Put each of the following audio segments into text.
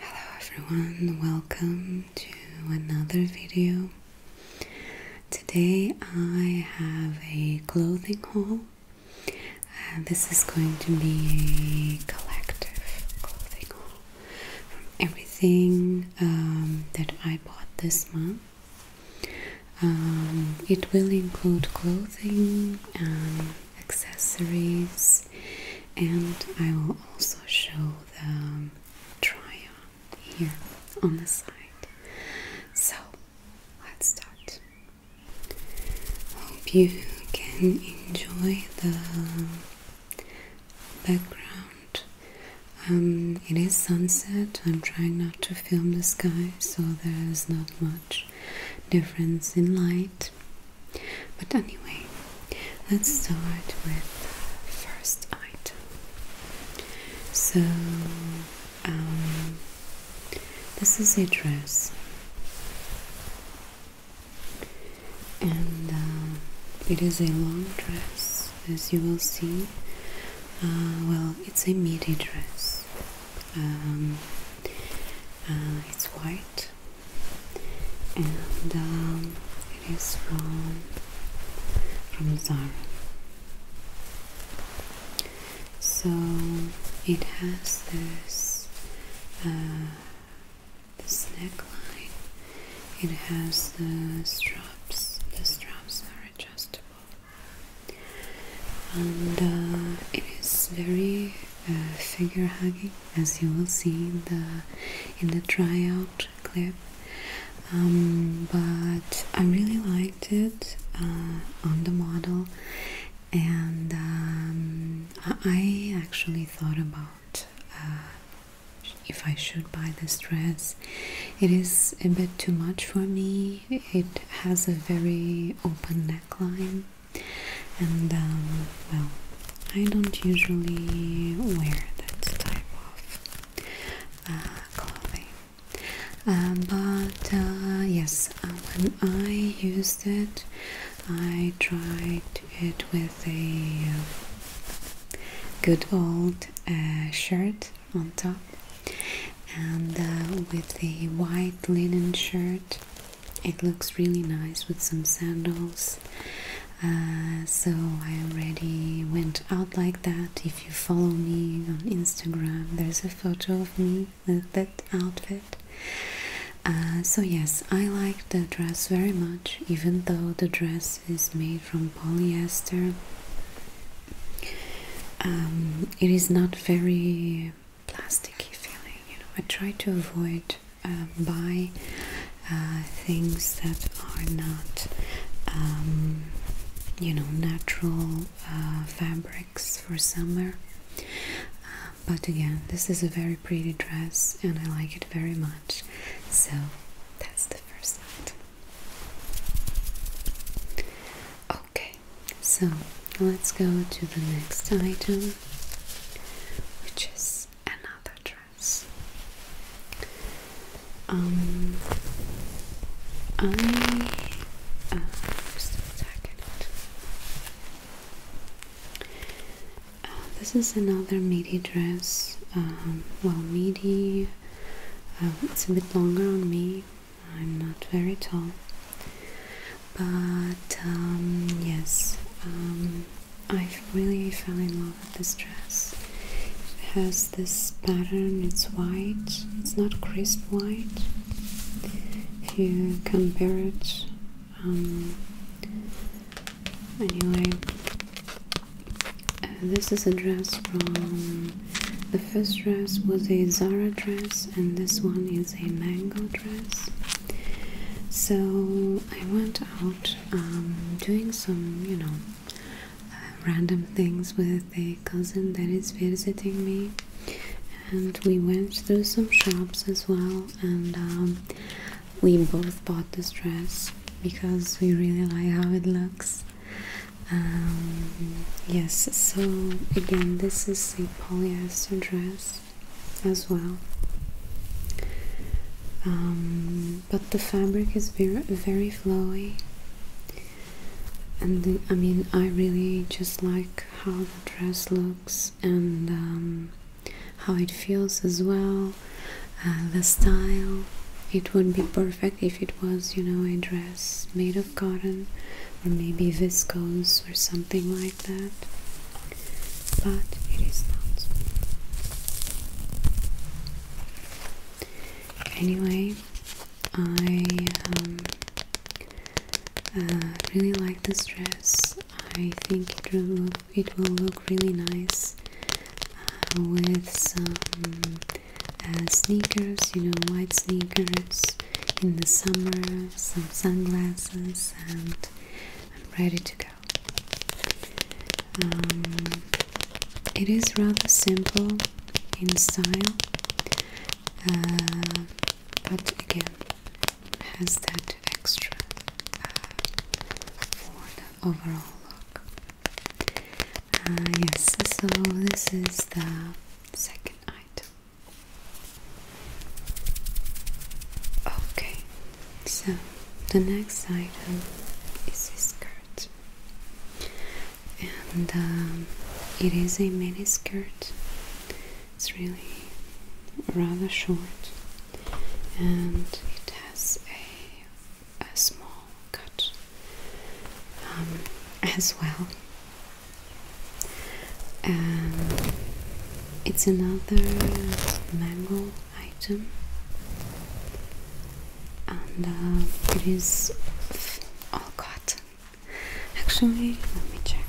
Hello everyone, welcome to another video. Today I have a clothing haul. Uh, this is going to be a collective clothing haul from everything um, that I bought this month. Um, it will include clothing and um, accessories, and I will also show the um, try on here on the side. So let's start. Hope you can enjoy the background. Um, it is sunset. I'm trying not to film the sky, so there is not much difference in light. But anyway, let's start with the first item. So, um, this is a dress, and um, it is a long dress, as you will see. Uh, well, it's a midi dress um, uh, it's white and um, it is from from Zara so it has this uh, this neckline it has the straps the straps are adjustable and uh, it is very uh, figure hugging, as you will see in the in the tryout clip. Um, but I really liked it uh, on the model, and um, I actually thought about uh, if I should buy this dress. It is a bit too much for me. It has a very open neckline, and um, well, I don't usually wear that type of uh, clothing. Uh, but uh, yes, when I used it, I tried it with a good old shirt on top and with a white linen shirt it looks really nice with some sandals uh, so I already went out like that if you follow me on Instagram there's a photo of me with that outfit uh, so yes I like the dress very much even though the dress is made from polyester um, it is not very plasticky feeling. You know, I try to avoid um, buy uh, things that are not, um, you know, natural uh, fabrics for summer. Uh, but again, this is a very pretty dress, and I like it very much. So that's the first item. Okay, so let's go to the next item, which is another dress. Um, I uh, just a second. Uh, this is another midi dress. Um, well, midi. Uh, it's a bit longer on me, I'm not very tall, but um, yes, um, I really fell in love with this dress. It has this pattern, it's white, it's not crisp white. If you compare it, um, anyway, uh, this is a dress from the first dress was a Zara dress, and this one is a mango dress. So I went out um, doing some, you know, uh, random things with a cousin that is visiting me, and we went through some shops as well. And um, we both bought this dress because we really like how it looks. Um, yes, so again, this is polyester dress as well. Um, but the fabric is very, very flowy, and I mean, I really just like how the dress looks and um, how it feels as well. Uh, the style, it would be perfect if it was, you know, a dress dress made of cotton or maybe viscose or something like that, but it is not. Anyway, I um, uh, really like this dress. I think it will look, really nice uh, with some uh, sneakers, you know, white sneakers in the summer, some sunglasses, and I'm ready to go. Um, it is rather simple in style, uh, but again, has that extra uh, for the overall look. Uh, yes, so this is the second item. Okay, so the next item is this skirt, and um, it is a mini skirt. It's really rather short, and it has a, a small cut um, as well. Um, it's another mango item, and uh, it is all cotton. Actually, let me check.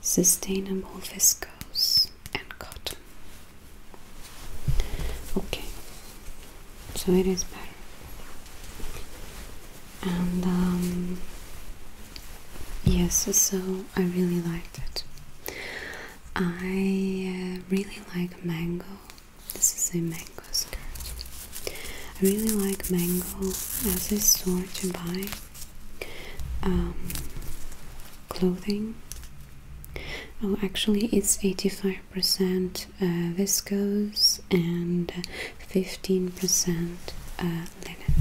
Sustainable viscose and cotton. Okay, so it is better. And um, yes, so I really liked it. I uh, really like mango. This is a mango skirt. I really like mango as a store to buy um, clothing. Oh, actually, it's 85 percent uh, viscose and 15% uh, uh, linen.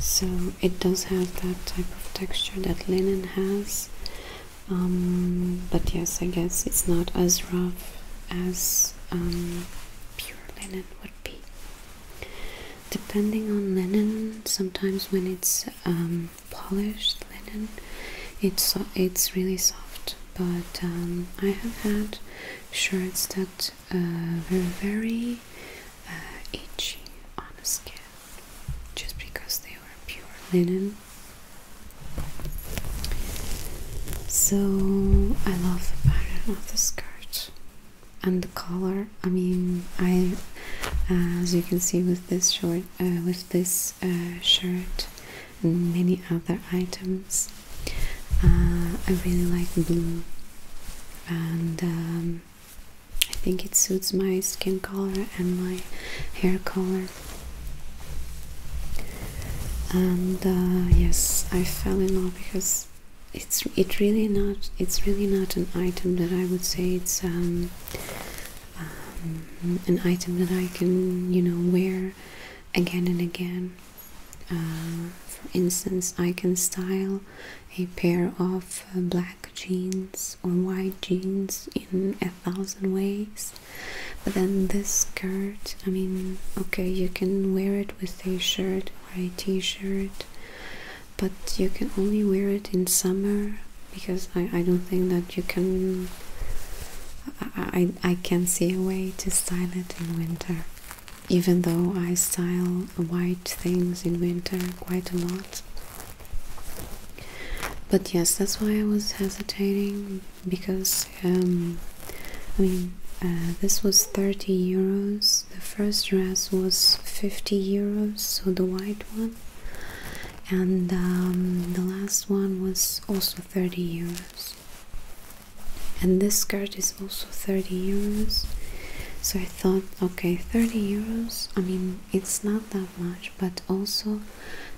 So it does have that type of texture that linen has, um, but yes, I guess it's not as rough as um, pure linen would be. Depending on linen, sometimes when it's um, polished linen, it's it's really soft but um, I have had shirts that uh, were very uh, itchy on the skin just because they were pure linen. So I love the pattern of the skirt and the color. I mean, I as you can see with this short, uh, with this uh, shirt and many other items. Uh, I really like blue and um, I think it suits my skin color and my hair color. And uh, yes, I fell in love because it's it really not it's really not an item that I would say it's um, um an item that I can you know wear again and again. Um, for instance, I can style a pair of uh, black jeans or white jeans in a thousand ways, but then this skirt I mean, okay, you can wear it with a shirt or a t shirt, but you can only wear it in summer because I, I don't think that you can. I, I, I can see a way to style it in winter. Even though I style white things in winter quite a lot. But yes, that's why I was hesitating because, um, I mean, uh, this was 30 euros. The first dress was 50 euros, so the white one. And um, the last one was also 30 euros and this skirt is also 30 euros so i thought okay 30 euros i mean it's not that much but also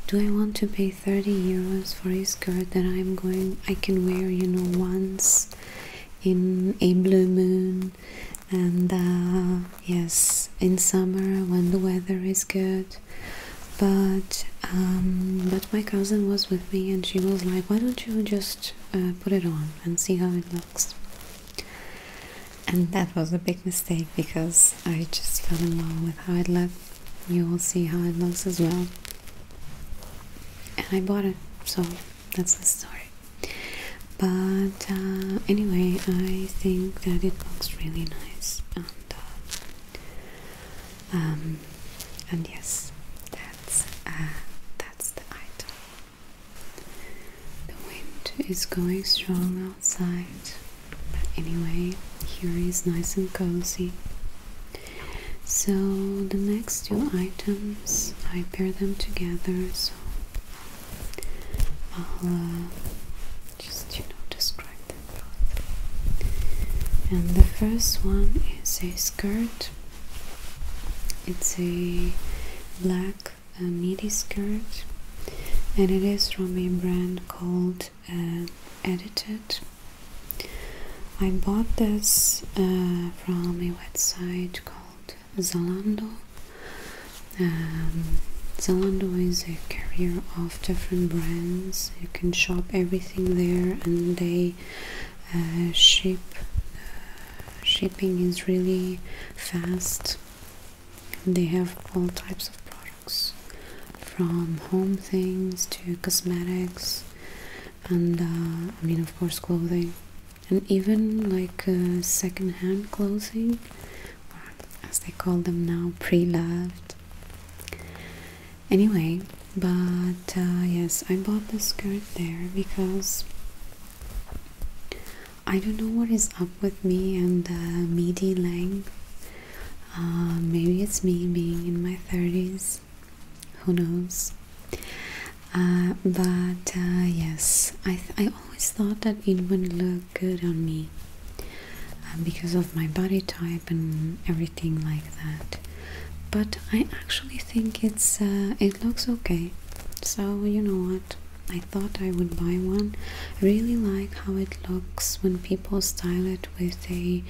do i want to pay 30 euros for a skirt that i'm going i can wear you know once in a blue moon and uh, yes in summer when the weather is good but um, but my cousin was with me and she was like why don't you just uh, put it on and see how it looks and that was a big mistake because I just fell in love with how it looked you will see how it looks as well and I bought it so that's the story but uh, anyway I think that it looks really nice uh, um, and yes, that's uh, that's the item. The wind is going strong outside, but anyway, here is nice and cozy. So the next two items, I pair them together. So I'll uh, just you know describe them both and the first one is a skirt it's a black midi uh, skirt and it is from a brand called uh, edited I bought this uh, from a website called Zalando um, Zalando is a carrier different brands. You can shop everything there, and they uh, ship. Uh, shipping is really fast. They have all types of products, from home things to cosmetics, and uh, I mean, of course, clothing, and even like uh, second-hand clothing, as they call them now, pre-loved anyway but uh, yes i bought the skirt there because i don't know what is up with me and the midi length uh, maybe it's me being in my 30s who knows uh, but yes I, I always thought that it would look good on me uh, because of my body type and everything like that. But I actually think it's uh, it looks okay. So you know what? I thought I would buy one. I really like how it looks when people style it with a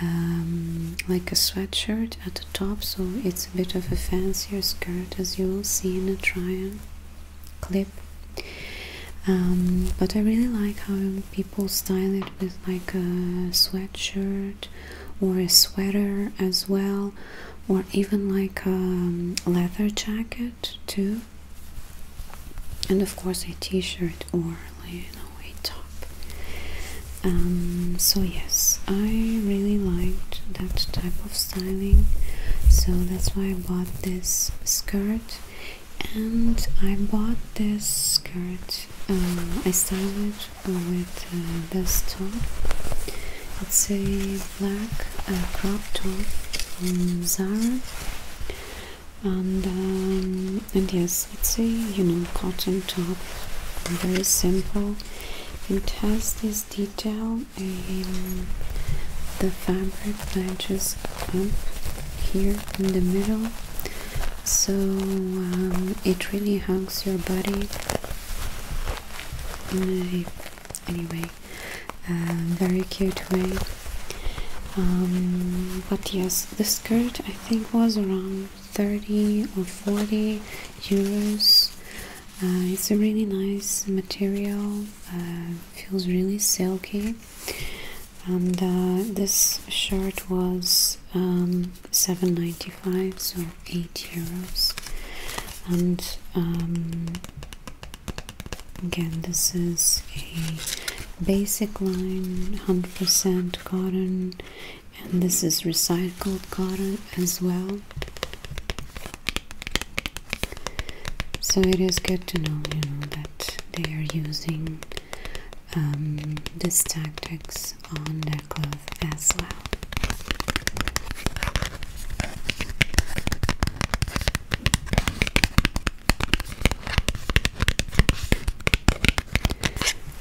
um, like a sweatshirt at the top, so it's a bit of a fancier skirt as you will see in a try on clip um, but I really like how people style it with like a sweatshirt or a sweater as well or even like a um, leather jacket too and of course a t-shirt or you a top um, so yes I really liked that type of styling so that's why I bought this skirt and I bought this skirt. Uh, I styled it with uh, this top. It's a black uh, crop top from Zara, and um, and yes, it's a you know cotton top, very simple. It has this detail in um, the fabric matches up here in the middle so um, it really hugs your body anyway uh, very cute way um, but yes the skirt I think was around 30 or 40 euros uh, it's a really nice material uh, feels really silky and uh, this shirt was um, 7.95 so 8 euros and um, again this is a basic line 100% cotton and this is recycled cotton as well so it is good to know you know that they are using um, this tactics on their clothes as well.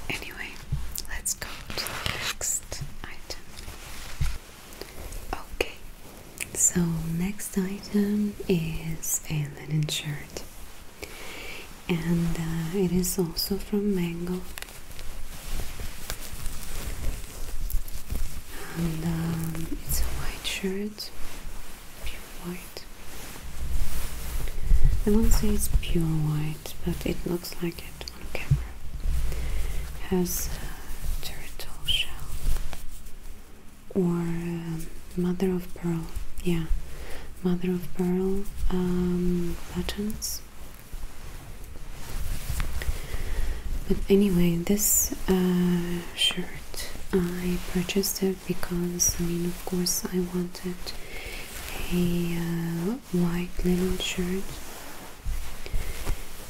Anyway, let's go to next item. Okay, so next item is a linen shirt, and uh, it is also from Mango. And um, it's a white shirt, pure white. I won't say it's pure white, but it looks like it on camera. has a turtle shell or um, mother of pearl yeah mother of pearl buttons um, but anyway this uh, shirt I purchased it because I mean of course I wanted a uh, white linen shirt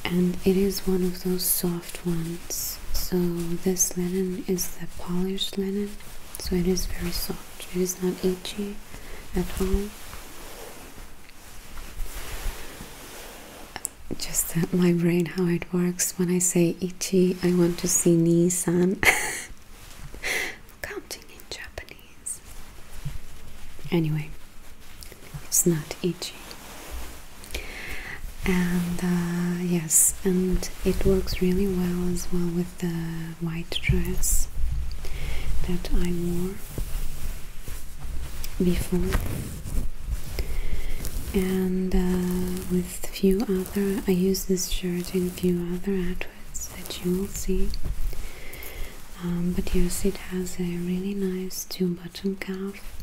and it is one of those soft soft ones. So this linen is the polished linen, so it is very soft. It is not itchy at all. Just my brain how it works. When I say itchy, I want to see Nissan. Counting in Japanese. Anyway, it's not itchy and uh, yes and it works really well as well with the white dress that I wore before and uh, with few other I use this shirt in few other outfits that you will see um, but yes it has a really nice two button cuff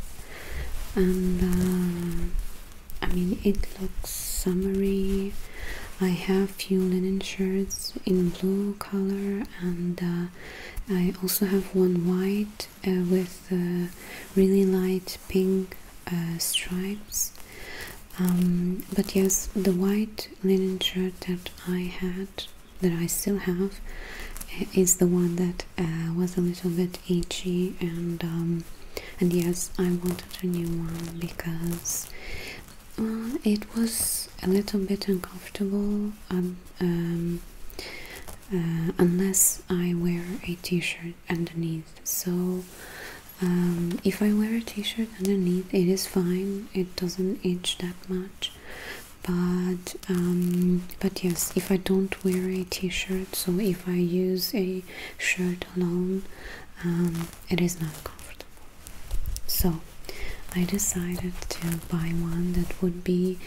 and uh, I mean, it looks summery. I have few linen shirts in blue color, and uh, I also have one white uh, with uh, really light pink stripes. Um, but yes, the white linen shirt that I had, that I still have, is the one that uh, was a little bit itchy and um, and yes I wanted a new one because uh, it was a little bit uncomfortable um, um, uh, unless I wear a t-shirt underneath so if I wear a t-shirt underneath it is fine it doesn't itch that much but but yes if I don't wear a t-shirt so if I use a shirt alone um, it is not comfortable so I decided to buy one that would be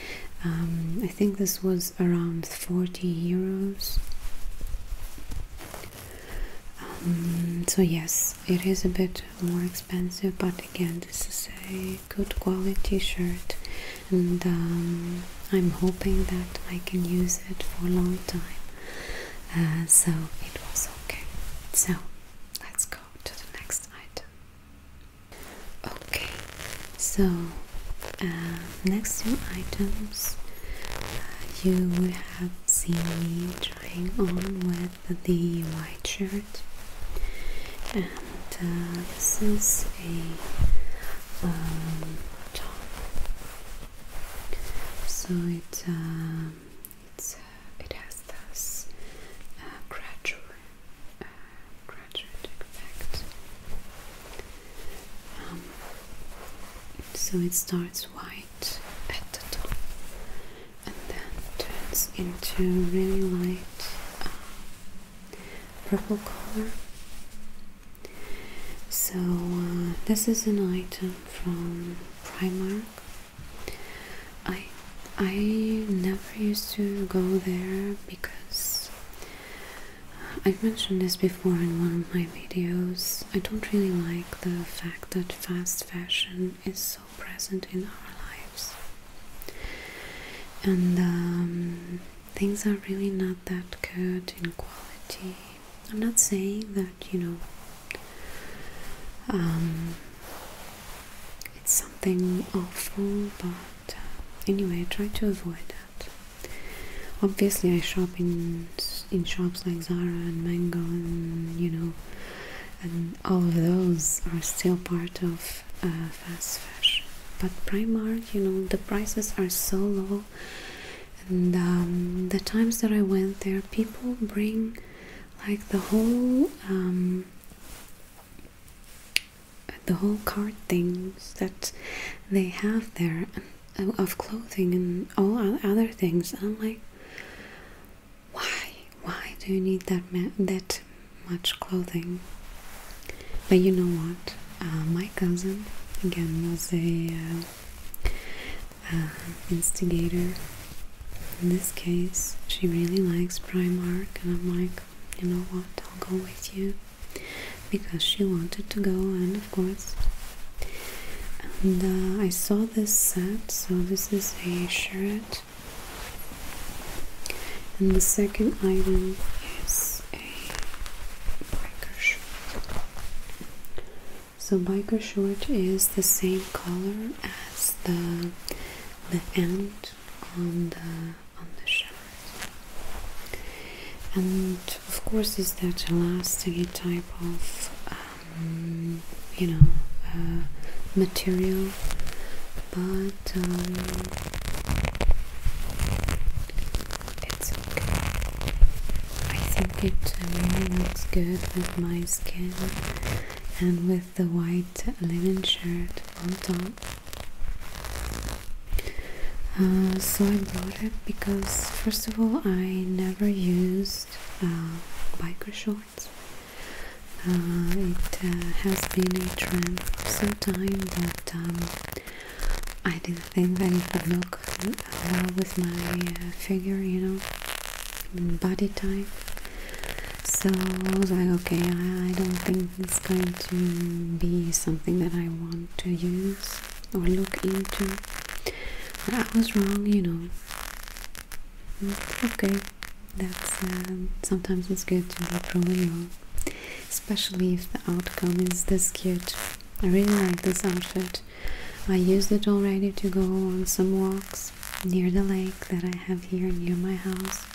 um, I think this was around 40 euros um, so yes it is a bit more expensive but again this is a good quality shirt and um, I'm hoping that I can use it for a long time. Uh, so it was okay. So let's go to the next item. Okay, so uh, next two items uh, you have seen me trying on with the white shirt, and this is a um, so it um, uh, it has this uh, gradual uh, effect. Um, so it starts white at the top and then turns into really light uh, purple color. So uh, this is an item from Primark. I I never used to go there because uh, I've mentioned this before in one of my videos. I don't really like the fact that fast fashion is so present in our lives. And um, things are really not that good in quality. I'm not saying that, you know, um, it's something awful, but uh, anyway, I try to avoid that. Obviously, I shop in in shops like Zara and Mango, and you know, and all of those are still part of uh, fast fashion. But Primark, you know, the prices are so low and um, the times that I went there, people bring like the whole um, the whole card things that they have there uh, of clothing and all other things. And I'm like, why? Why do you need that that much clothing? But you know what? Uh, my cousin again was a uh, uh, instigator in this case she really likes Primark and I'm like you know what I'll go with you because she wanted to go and of course and I saw this set so this is a shirt and the second item is so biker short is the same color as the the end on the on the shirt. And of course is that elastic type of um, you know uh, material but um, it's okay. I think it really looks good with my skin and with the white linen shirt on top. Uh, so I bought it because, first of all, I never used uh, biker shorts. Uh, it has been a trend for some time that I didn't think that it would look well with my uh, figure, you know, body type. So I was like, okay, I, don't think it's going to be something that I want to use or look into. But I was wrong, you know. Mm, okay, that's uh, sometimes it's good to be proven wrong especially if the outcome is this cute. I really like this outfit. I used it already to go on some walks near the lake that I have here near my house,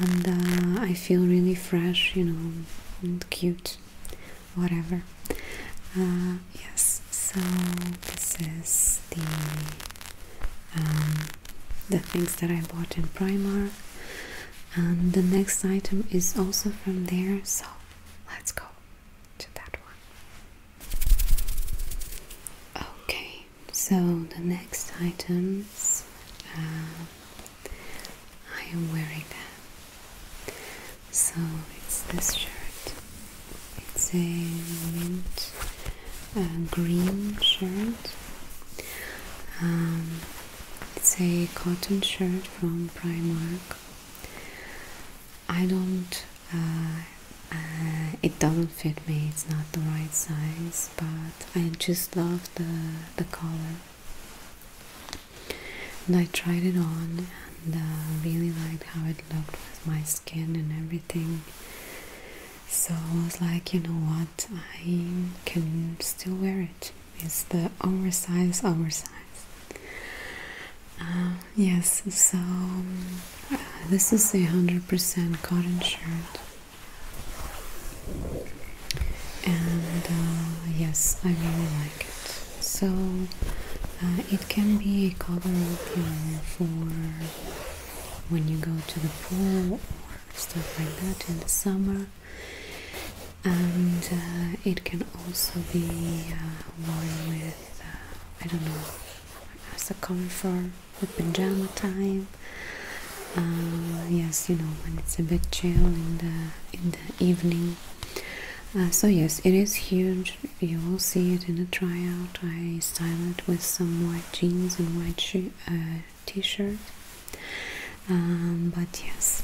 and uh, I feel really fresh, you know, and cute, whatever. Uh, yes, so this is the um, the things that I bought in Primark and um, the next item is also from there so let's go to that one okay so the next items uh, I am wearing them so it's this shirt it's a mint uh, green shirt um, it's a cotton shirt from Primark. I don't, uh, uh, it doesn't fit me, it's not the right size, but I just love the, the color. And I tried it on and uh, really liked how it looked with my skin and everything. So I was like, you know what, I can still wear it. It's the oversized, oversized. Um, yes, so uh, this is a hundred percent cotton shirt, and uh, yes, I really like it. So uh, it can be a cover up, you know, for when you go to the pool or stuff like that in the summer and uh, it can also be uh, worn with uh, I don't know as a comfort a pajama time yes you know when it's a bit chill in the in the evening so yes it is huge you will see it in a tryout I style it with some white jeans and white shoes t-shirt um, but yes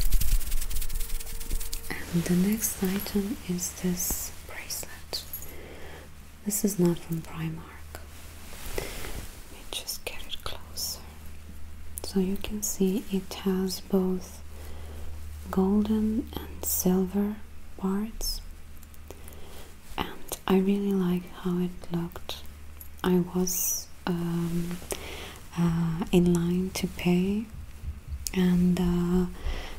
and the next item is this bracelet this is not from Primark let me just get it closer so you can see it has both golden and silver parts and I really like how it looked I was um, uh, in line to pay and uh,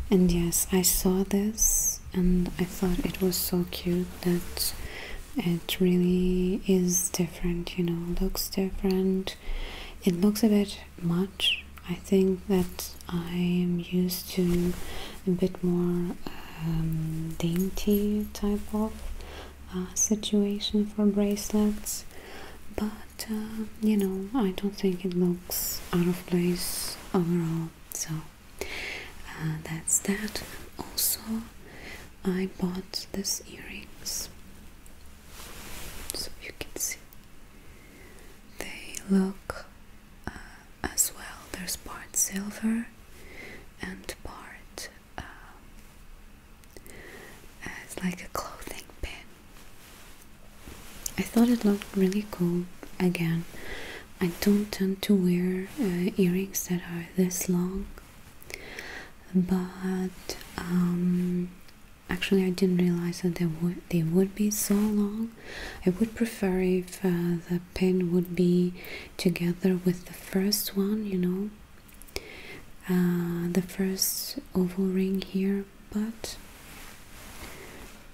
and yes I saw this and I thought it was so cute that it really is different you know looks different it looks a bit much I think that I am used to a bit more um, dainty type of uh, situation for bracelets but uh, you know I don't think it looks out of place overall so uh, that's that also I bought these earrings so you can see they look as well there's part silver and part as uh, like a clothing pin. I thought it looked really cool. Again, I don't tend to wear uh, earrings that are this long, but um, actually, I didn't realize that they would they would be so long. I would prefer if uh, the pin would be together with the first one, you know, uh, the first oval ring here, but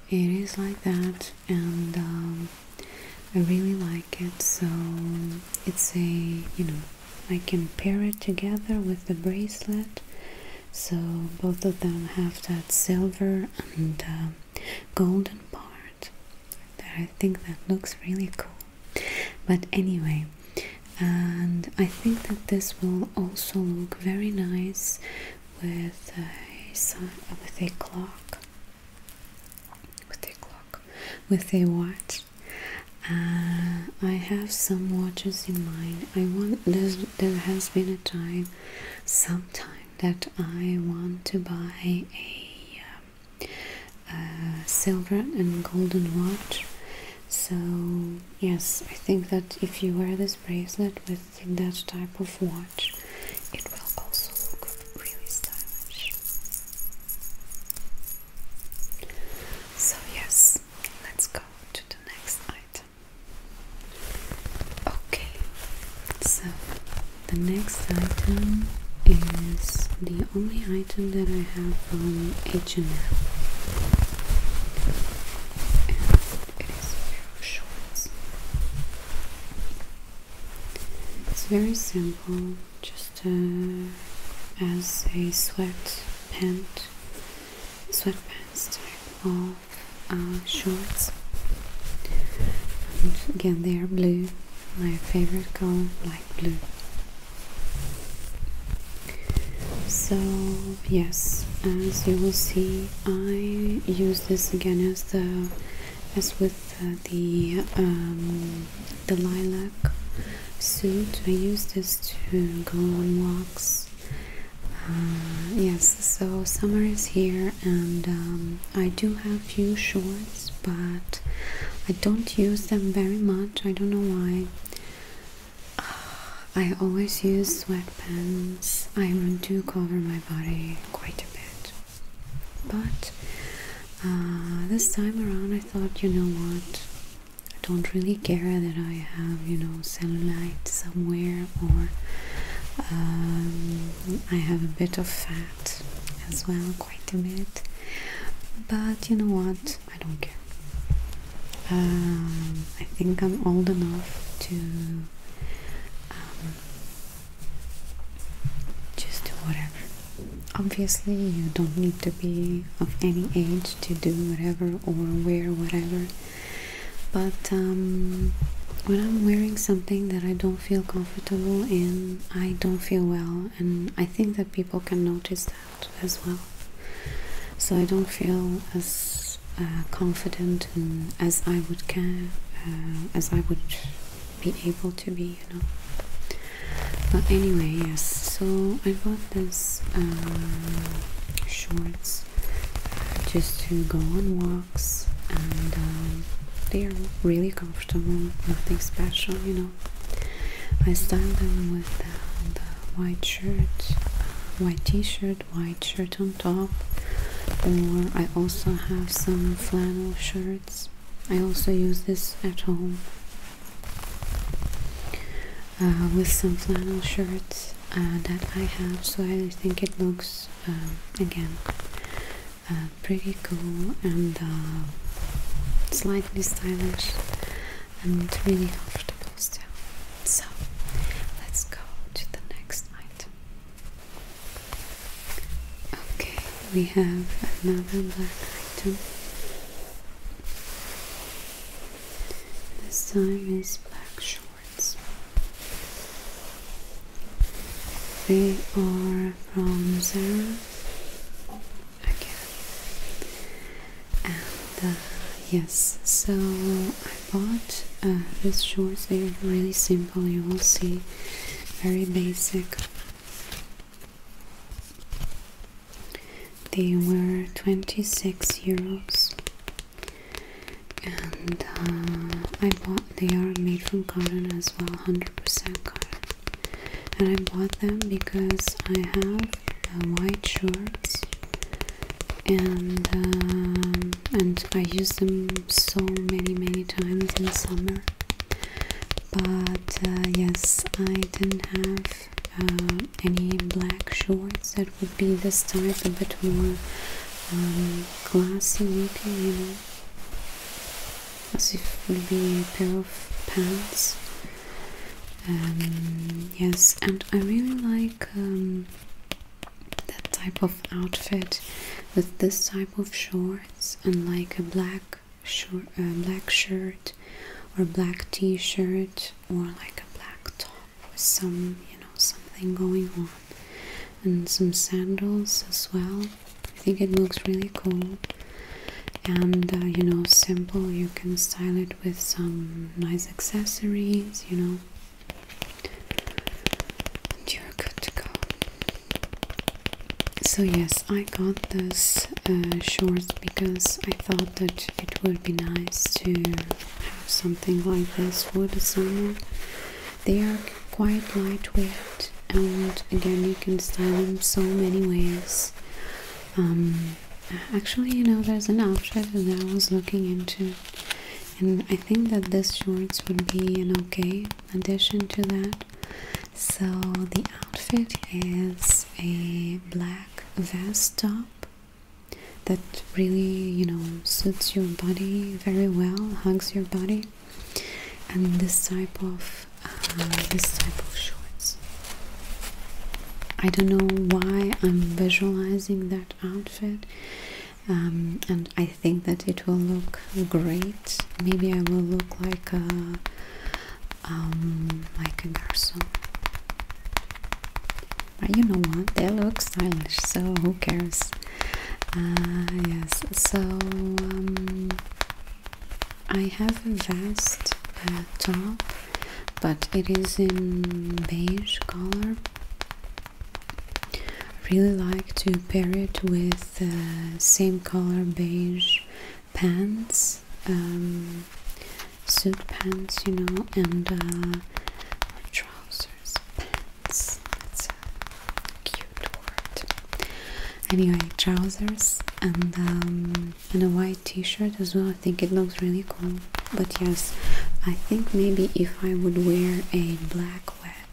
it is like that, and um, I really like it. So it's a you know, I can pair it together with the bracelet, so both of them have that silver and uh, golden part. I think that looks really cool. But anyway, and I think that this will also look very nice with a with a clock, with a clock, with a watch. Uh, I have some watches in mind. I want there's, there has been a time, sometime that I want to buy a uh, uh, silver and golden watch so yes i think that if you wear this bracelet with that type of watch it will also look really stylish so yes let's go to the next item okay so the next item is the the only item that I have from H&M and it is shorts it's very simple just uh, as a sweat pant sweatpants type of uh, shorts again they are blue my favorite color light blue so yes as you will see I use this again as the as with the the um, lilac suit I use this to go on walks uh, yes so summer is here and um, I do have few shorts but I don't use them very much. I don't know why. I always use sweatpants. I want to cover my body quite a bit. But uh, this time around, I thought, you know what? I don't really care that I have, you know, cellulite somewhere or um, I have a bit of fat as well, quite a bit, but you know what? I don't care. Um, I think I'm old enough to um, just do whatever. Obviously, you don't need to be of any age to do whatever or wear whatever, but um, when I'm wearing something that I don't feel comfortable in, I don't feel well, and I think that people can notice that as well. So I don't feel as uh, confident and as I would care uh, as I would be able to be, you know. But anyway, yes. So I bought this um, shorts uh, just to go on walks and um, they are really comfortable, nothing special, you know. I style them with the, white shirt, white t-shirt, white shirt on top or I also have some flannel shirts. I also use this at home uh, with some flannel shirts uh, that I have so I think it looks um, again uh, pretty cool and uh, slightly stylish and really comfortable still. So let's go to the next item. Okay, we have another black item. This time is black shorts. They are from Zara Okay. And uh, yes, so I bought uh, these shorts. They are really simple. You will see, very basic. They were 26 euros, and uh, I bought. They are made from cotton as well, 100% cotton and I bought them because I have white shorts and um, and I use them so many many times in summer but uh, yes I didn't have uh, any black shorts that would be this type a bit more um, classy looking you know as if it would be a pair of pants. Um, yes, and I really like um, that type of outfit with this type of shorts and like a black short, uh, black shirt or black t-shirt or like a black top with some you know something going on and some sandals as well I think it looks really cool and uh, you know, simple. You can style it with some nice accessories, you know. And you're good to go. So, yes, I got this uh, shorts because I thought that it would be nice to have something like this for the summer. They are quite lightweight and again you can style them so many ways um, actually you know there's an outfit that I was looking into and I think that this shorts would be an okay addition to that so the outfit is a black vest top that really you know suits your body very well hugs your body and this type of uh, this type of shorts I don't know why I'm visualizing that outfit um, and I think that it will look great maybe I will look like a um, like but you know what they look stylish so who cares uh, yes so um, I have a vest top, but it is in beige color. Really like to pair it with uh, same color beige pants, um, suit pants, you know, and uh, trousers, pants cute word. Anyway, trousers and um, and a white T-shirt as well. I think it looks really cool. But yes, I think maybe if I would wear a black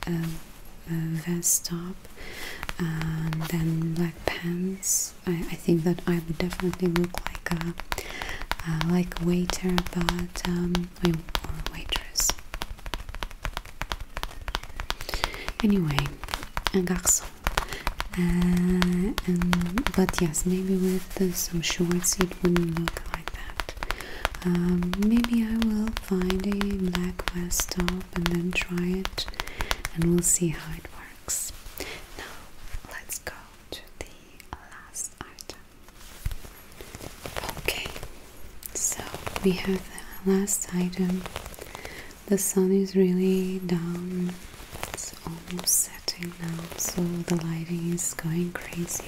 um, vest top and um, then black pants, I, think that I would definitely look like a like waiter, but um, or waitress. Anyway, a garçon. Uh, but yes, maybe with some shorts it wouldn't look like that. Um, maybe I will find a black vest top and then try it, and we'll see how it works. Now, let's go to the last item. Okay, so we have the last item. The sun is really down, it's almost setting now, so the lighting is going crazy.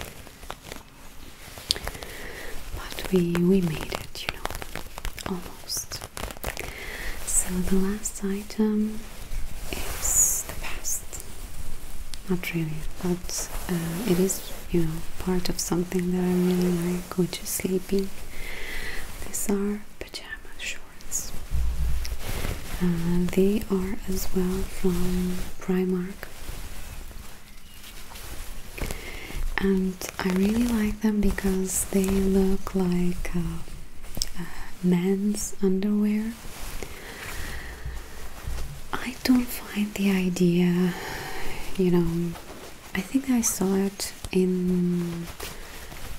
But we we made it, you know, almost. So the last item is the past. Not really, but uh, it is, you know, part of something that I really like Going to sleeping. These are pajama shorts. Uh, they are as well from Primark. And I really like them because they look like uh, uh, men's underwear. I don't find the idea, you know, I think I saw it in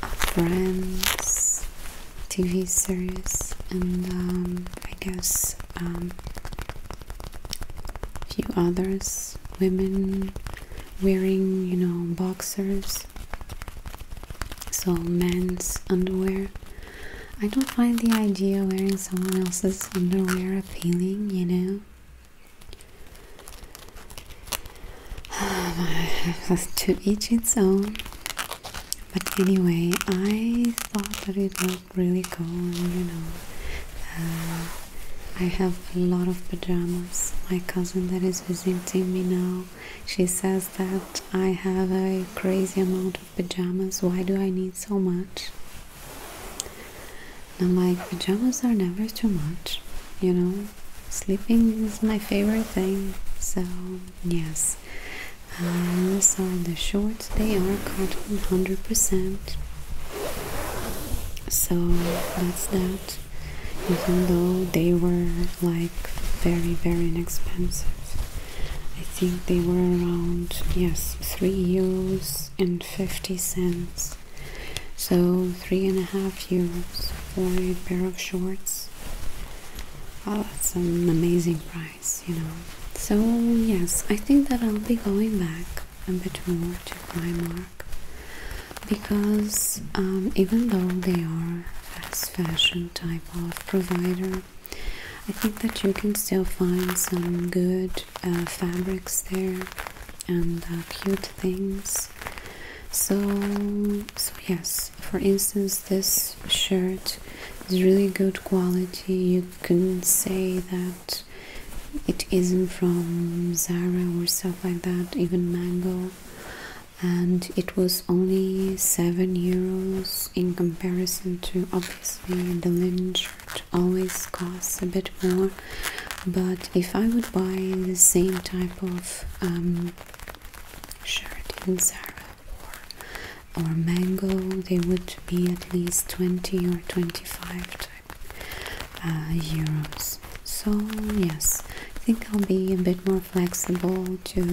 a Friends TV series, and um, I guess a um, few others, women wearing, you know, boxers, so men's underwear. I don't find the idea wearing someone else's underwear appealing, you know. to each its own. But anyway, I thought that it looked really cool, and, you know. Uh, I have a lot of pajamas. My cousin that is visiting me now, she says that I have a crazy amount of pajamas. Why do I need so much? Now my pajamas are never too much, you know. Sleeping is my favorite thing, so yes. Um, so the shorts they are cotton 100%. So that's that. Even though they were like very very inexpensive. I think they were around yes 3 euros and 50 cents so three and a half euros for a pair of shorts. Oh, that's an amazing price, you know. So yes, I think that I'll be going back a bit more to Primark because um, even though they are fast fashion type of provider, I think that you can still find some good uh, fabrics there and uh, cute things. So, yes. For instance, this shirt is really good quality. You couldn't say that it isn't from Zara or stuff like that, even Mango. And it was only seven euros in comparison to obviously the Lynch it always costs a bit more but if I would buy the same type of um, shirt in Zara or, or Mango they would be at least 20 or 25 uh, euros so yes I think I'll be a bit more flexible to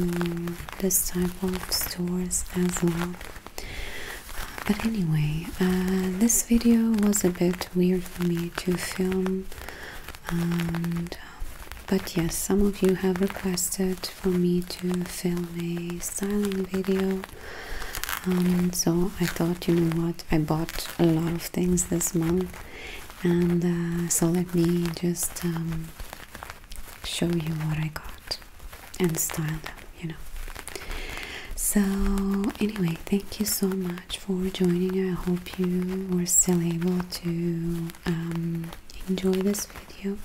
this type of stores as well but anyway, uh, this video was a bit weird for me to film, and but yes, some of you have requested for me to film a styling video. Um, so I thought, you know what, I bought a lot of things this month, and uh, so let me just um, show you what I got and style them, you know. So, anyway, thank you so much for joining. I hope you were still able to um, enjoy this video.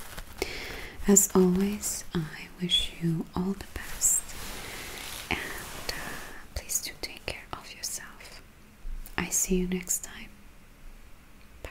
As always, I wish you all the best and uh, please do take care of yourself. I see you next time. Bye.